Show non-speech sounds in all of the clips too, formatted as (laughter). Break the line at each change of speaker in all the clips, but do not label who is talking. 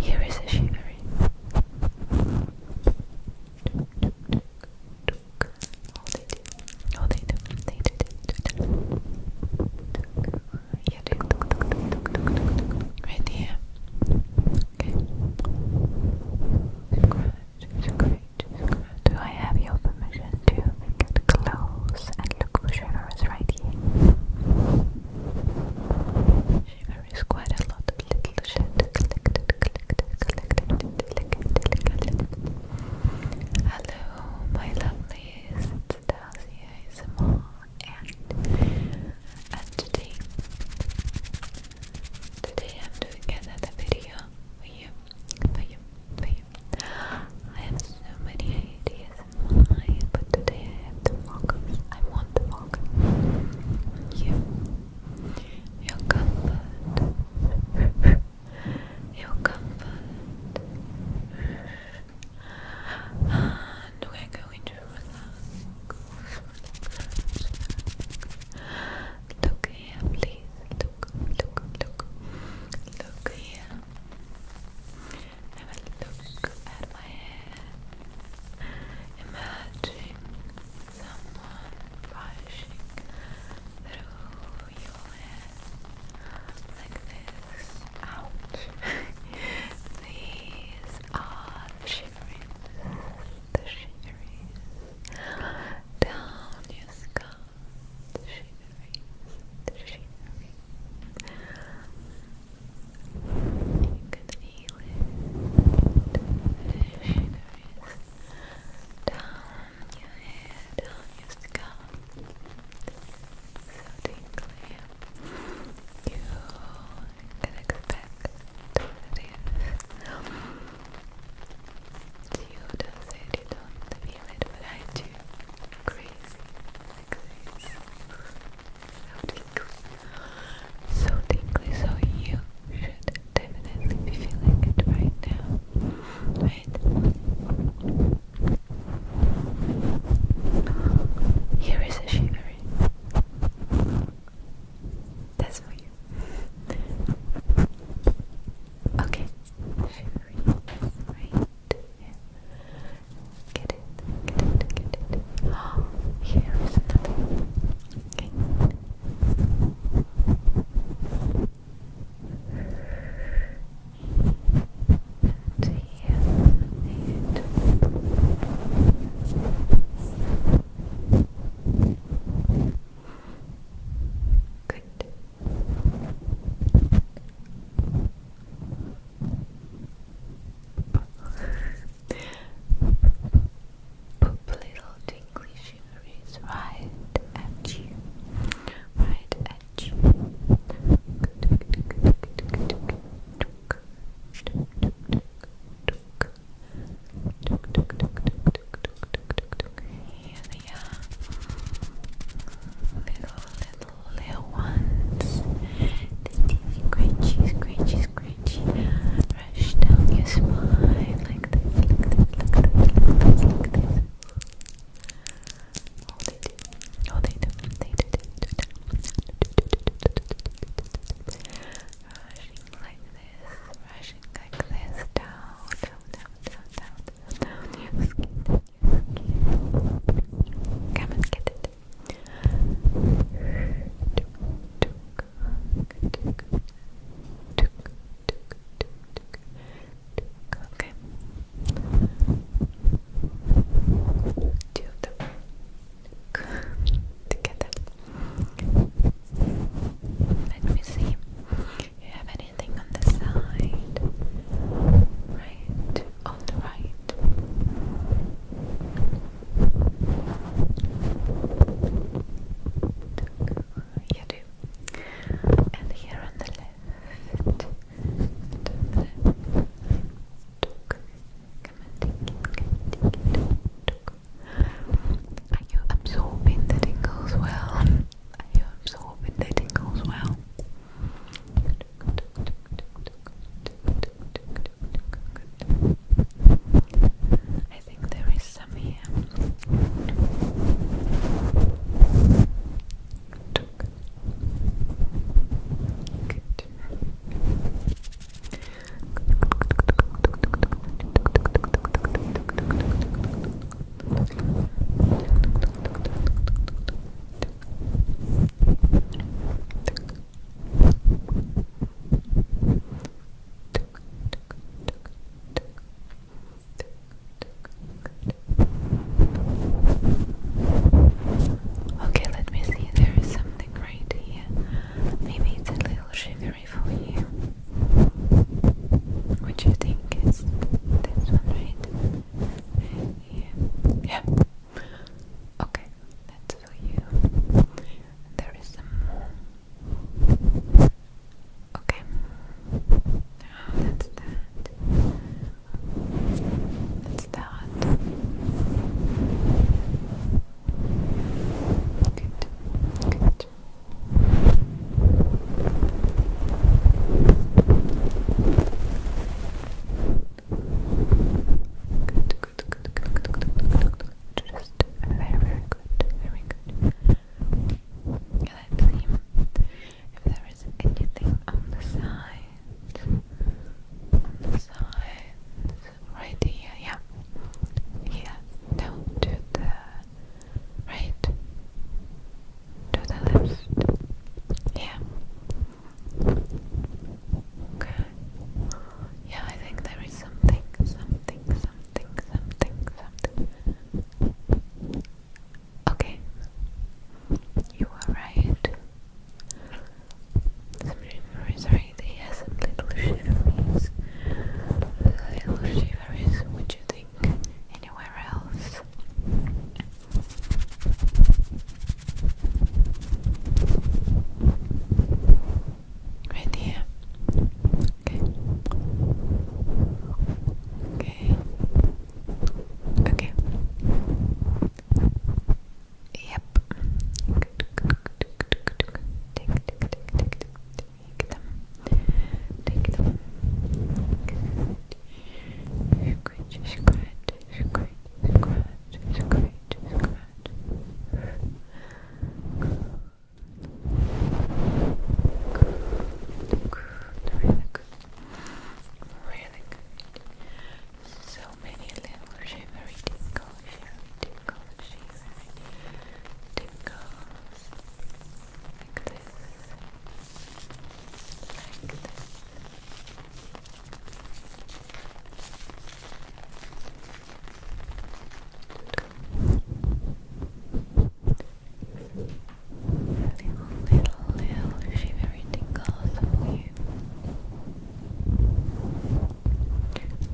Here is a shivery. All they do, all they do, they do, they do, yeah, right here. Okay. Do I have your permission to get close and look for right here? There is quite a lot of little Hello, my lovelies, it's Dacia Isma, and today, today I'm doing another video for you, for you, for you. I have so many ideas I? But today I have I want to focus on you, comfort, your comfort, Look here, please. Look, look, look, look here. Have a look at my hair. Imagine someone brushing through your hair like this. Ouch! (laughs) These are the shiverings, down your scalp, the shiverings, you can feel it. Shivers down your hair, down your scalp. So tingly. You expect this. Um, you you don't feel it, but I do. Crazy, like this so tingly, so tingly, so you should definitely be feeling it right now, right? Here is a shivering. That's for you. Okay, shivering right Get it, get it, get it. (gasps) here is another. Okay. And here and Good. Poop little tingly shiveries right at you. Right at you. Here they little little ones. The teeny crunchy, crunchy, crunchy rush down your spine like this, like this, like this, like this, like this. Oh, they do. Oh, they do. They do. They do. Rushing like this, rushing like this, down, down, down, down, down, down your skin, your Come and get it. Okay. Two of them together. Let me see. You have anything on the side? Right, on the right. You do. And here on the left.
Are you absorbing the tingles well? Are you absorbing the tingles well? I think there is some here. Okay, let me see. There is something right here. Maybe it's a little shivery for you. What do you think? It's this one, right? Yeah. Okay, it for you. There is some more. Okay. Now that's that. That's that. Good. Good. Good, good, good, good, good, good, good, good. Just very, very good, very good. Let's see if there is anything on the side. the side, right here, yeah. Here, down to the right, to the left. Yeah, Okay. Yeah, I think there is something, something, something, something, something. Okay. You are right. Some sorry, they have some little shiverings. Little shiverings, would you think? Anywhere else? Right here. Okay. Okay. Okay. Yep. Good, good, good, good, good, good. Take, take, take, take, take. Take them. Take them. Good. Scratch, scratch, scratch, scratch, scratch, scratch. Good. Good. Really good. Really good. So many little shivery tinkles here. Tinkles, shivery tinkles. Like this. Like this. Little, little, little shivery tingles for you.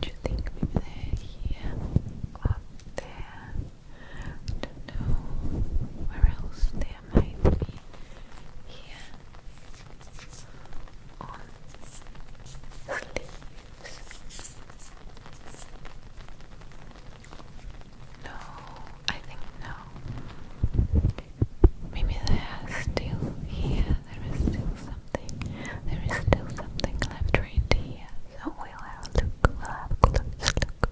Do you think maybe they're here or there? I don't know where else there might be. Here, on sleeves. No, I think no. Maybe there is still here. There is still something. There is still something left right here. So we'll have a We'll have close look.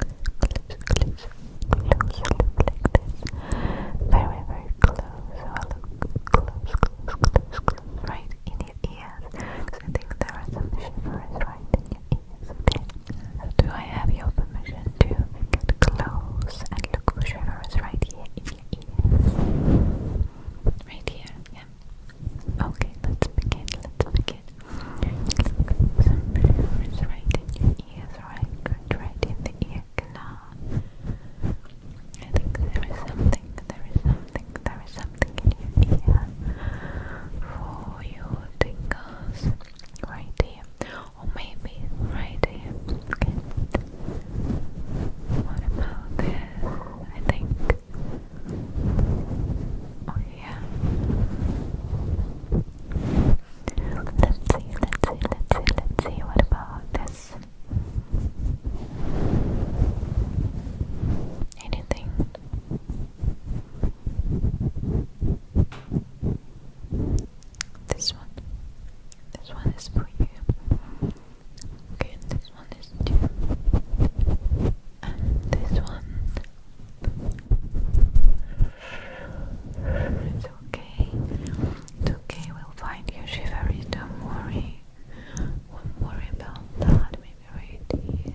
Close, close, close, close, close, close, close, like this. Very, very close. We'll look close, close, right in your ears. I think there are some right in your ears, do I have your permission to get close and look for shivers right here in your ears? Right here, yeah. Okay, let's begin, let's begin. Look, some right in your ears, right? right in the ear now. I think there is something, there is something, there is something in your ear for your tingles right here, or maybe right here. Okay. What about this? I think. Oh yeah. Let's see, let's see, let's see, let's see. What about this? Anything? This one. This one is for you. Okay, this one is too. this one. It's okay. It's okay, we'll find you shivery, don't worry. Won't worry
about that, maybe right here.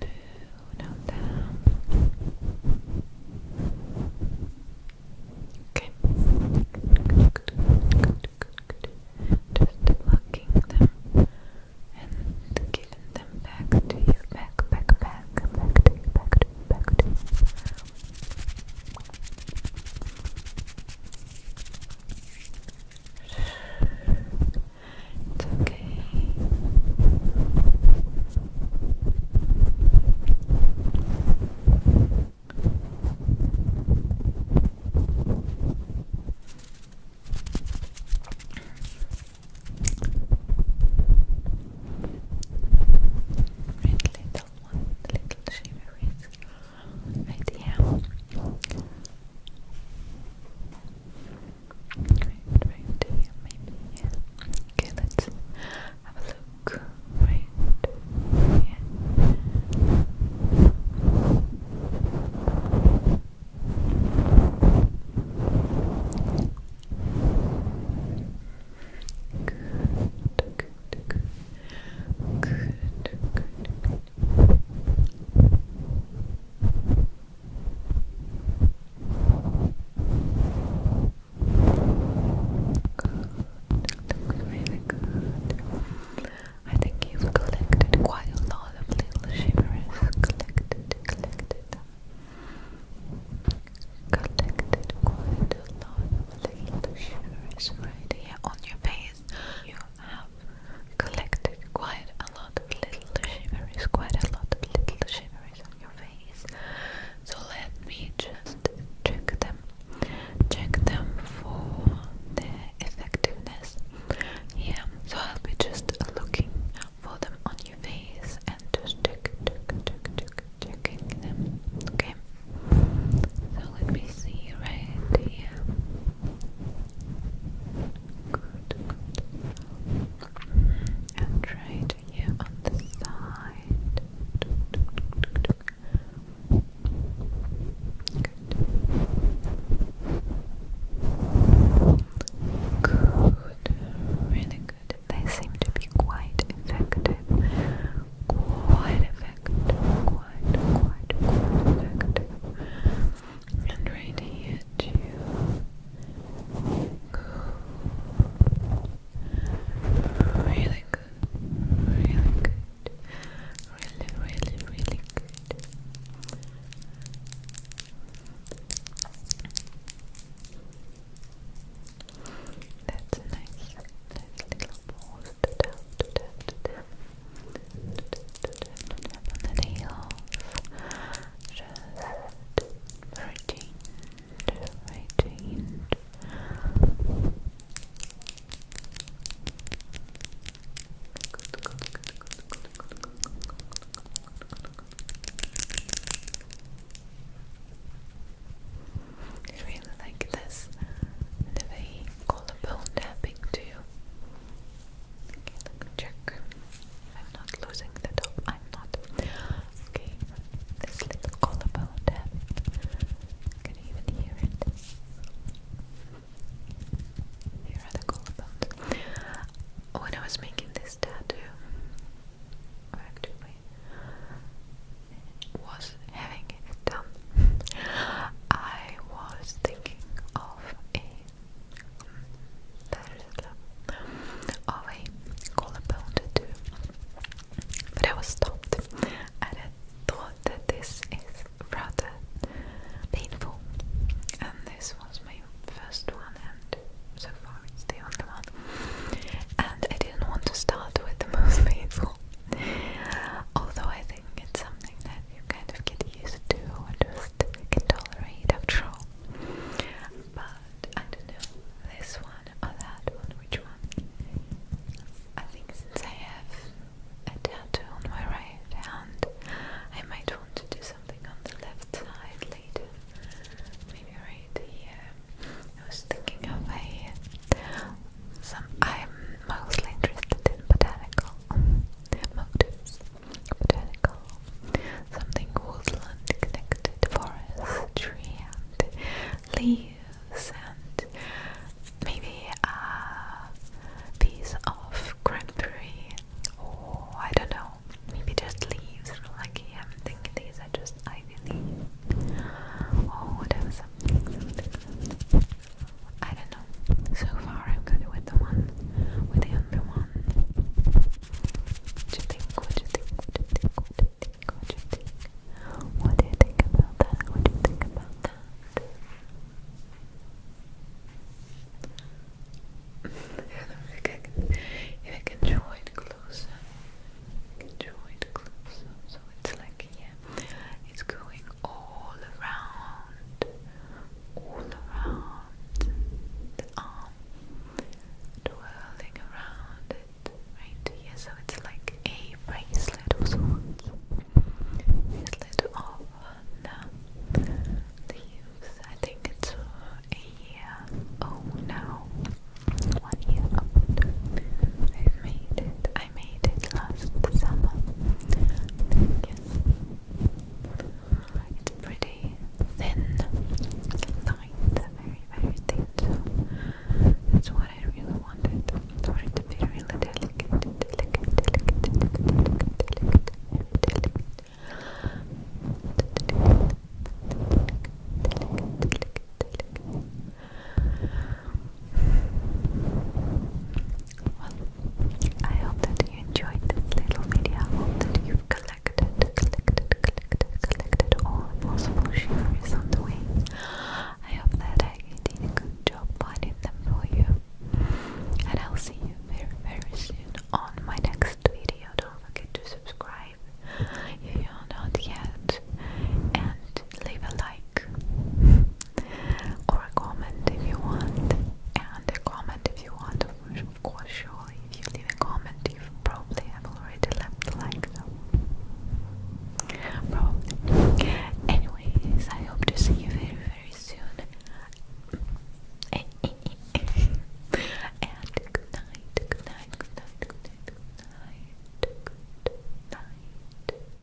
No, not down. Okay. Just plucking them and giving them back to you. Back, back, back, back to you, back to back it's okay. Really one little shimmer is right here. Right, right Okay, let's have a look good, good, good, good. Good, really good. I think you've collected quite a lot of little shivers. Collected, collected, collected quite a lot little shiver right here on your face. You have collected quite a lot of little shivers, quite a lot of little shivers on your face. So let me just check them. Check them for their effectiveness. Yeah, so I'll be just looking for them on your face and just check, check, check, check, checking them. Okay. So let me see right here. Mm-hmm. And right here on the side. Good. Good. Really good. They seem to be quite effective. Quite effective quite, quite, quite And right here too. Good. Really good. Really good. Really, really, really good. That's nice, nice little ball and the heels just rotate, rotate Good, I really like this. The way collarbone tapping too. Okay, let me check. I'm not losing the top. I'm not. Okay, this little collarbone tapping. Can you even hear it? Here are the collarbones. When I was making this tattoo, actually, was having it done, I was thinking of a of a collarbone tattoo, but I was stopped, and I thought that this is rather painful, and this was my first one, and so far it's the only one, and I didn't want to start with the most painful. Although I think it's something that you kind of get used to and just can
tolerate after all. But I don't know, this one or that one, which one? I think since I have a tattoo on my right hand, I might want to do something on the left side later. Maybe right here. I was thinking of a some I'm mostly interested in botanical motives, botanical, something woodland connected, forest, tree, and leaves, and maybe a piece of cranberry, or I don't know, maybe just leaves. I'm thinking these are just ivy or whatever. something. I don't know. So far, I'm good with the one, with the under one. do you think? do you think? do you think? do you think? do you think? What do you think about that? What do you think about that? I I can. If I can draw it closer, I can draw closer. So it's like yeah. It's going all around, all around the arm, twirling around it, right here. So it's like a bracelet of Bracelet of now leaves. I think it's a year. Oh no, one year old. I've made it. I made it last summer. It's pretty thin lined, very very thin, that's what I really wanted. For it to be really delicate, delicate, delicate, delicate, delicate, delicate, delicate. delicate, delicate, delicate, delicate. Well, I hope that you enjoyed this little video. I hope that you've collected, collected, collected, collected all possible shares on the way. I hope that I did a good job finding them for you. And I'll see you very, very soon on my next video. Don't forget to subscribe if you're not yet. And leave a like or a comment if you want. And a comment if you want, of course, surely. If you leave a comment, you probably have already left a like, though. Probably. Anyways, I hope to see you very, very soon. and (laughs) good night, good night, good night, good night, good night, good night.